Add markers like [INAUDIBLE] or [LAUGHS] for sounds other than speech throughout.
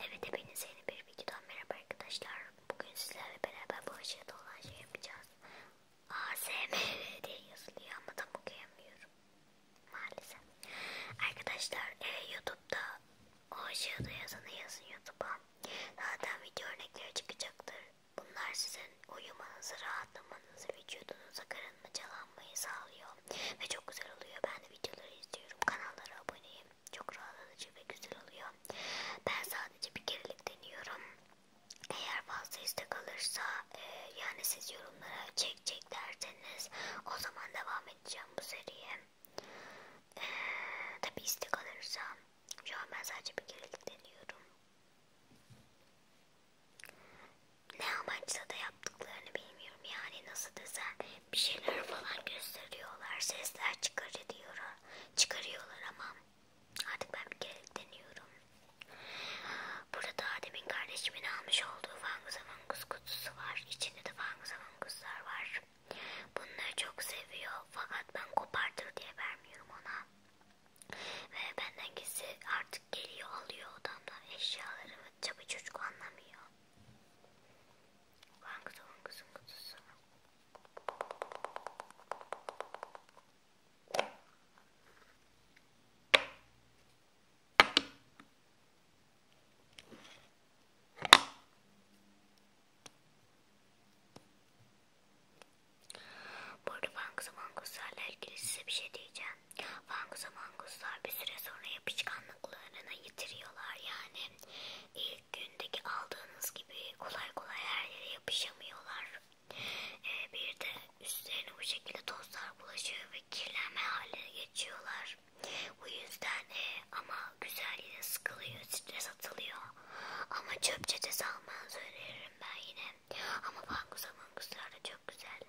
Evet hepinize yeni bir videodan merhaba arkadaşlar. Bugün sizlerle beraber bu aşağıda olan şey yapacağız. ASMR [LAUGHS] diye yazılıyor ama tam okuyamıyorum. Maalesef. Arkadaşlar e, YouTube'da o aşağıda yazanı yazın YouTube'a. Zaten video örnekleri çıkacaktır. Bunlar sizin uyumanızı, rahatlamanızı, vücudunuza karınma calanmayı sağlıyor. Ve çok güzel oluyor. Ben de videoları izliyorum. Kanallara aboneyim. Çok rahatlatıcı ve güzel oluyor. Ben sadece bir kerelik deniyorum. Eğer fazla istek alırsa e, yani siz yorumlara çek çek derseniz o zaman devam edeceğim bu seriye. E, Tabi istek alırsa şu an ben sadece bir kerelik deniyorum ne amaçla da yaptıklarını bilmiyorum. Yani nasıl desem bir şeyler falan gösteriyorlar. Sesler çıkarıyorlar. Çıkarıyorlar ama artık ben bir kere deniyorum. Burada demin kardeşimin almış olduğu Fangus Avangus kutusu var. İçinde de Fangus Avanguslar var. Bunları çok seviyor. Fakat ben kopartır diye vermiyorum ona. Ve benden gizli artık geliyor alıyor odamdan eşyalarımı Tabi çocuk anlamıyor. Langıda langızın kutusu. Bu arada bankası bankaslarla ilgili size bir şey diyeceğim. Fangus manguslar bir süre sonra yapışkanlıklarını yitiriyorlar. Yani ilk gündeki aldığınız gibi kolay kolay her yere yapışamıyorlar. Ee, bir de üstlerine bu şekilde tozlar bulaşıyor ve kirlenme haline geçiyorlar. Bu yüzden e, ama güzelliğine sıkılıyor, stres atılıyor. Ama çöp çetesi almanızı öneririm ben yine. Ama fangus manguslar da çok güzel.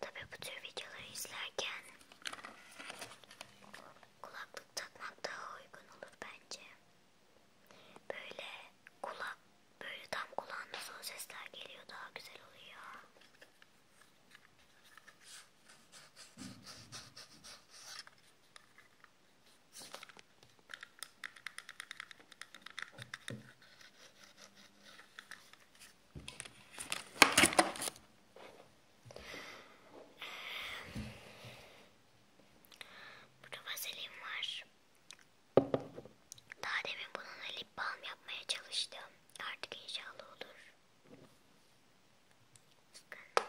Tabi bu tür videoları izlerken kulaklık takmak daha uygun olur bence. Böyle kulak böyle tam kulağında son sesler geliyor daha güzel oluyor. Burada vazelin var. Daha demin bununla lip balm yapmaya çalıştım. Artık inşallah olur. Bakın.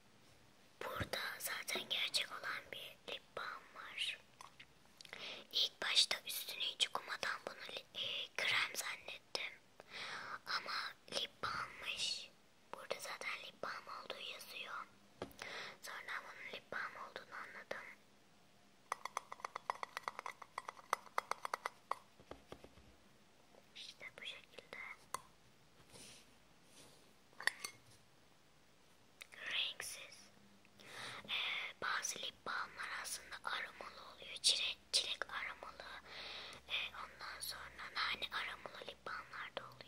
Burada zaten gerçek olan bir lip balm var. İlk başta üstünü hiç okumadan bunu e, krem zannettim. Ama lip balmmış. Burada zaten lip balm olduğu yazıyor. Sonra bunun lip balm olduğunu anladım. İşte bu şekilde renksiz. Ee, bazı lip balmlar aslında aromalı oluyor. Çilek, çilek aromalı. Ee, ondan sonra nane aromalı lip balmlar da oluyor.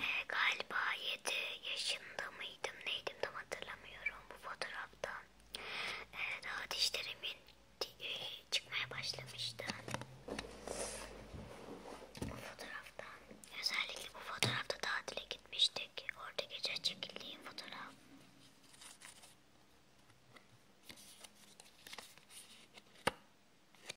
e, galiba 7 yaşında mıydım neydim tam hatırlamıyorum bu fotoğrafta. E, daha dişlerimin e, çıkmaya başlamıştı. Bu fotoğrafta özellikle bu fotoğrafta tatile gitmiştik. Orada gece çekildiğim fotoğraf.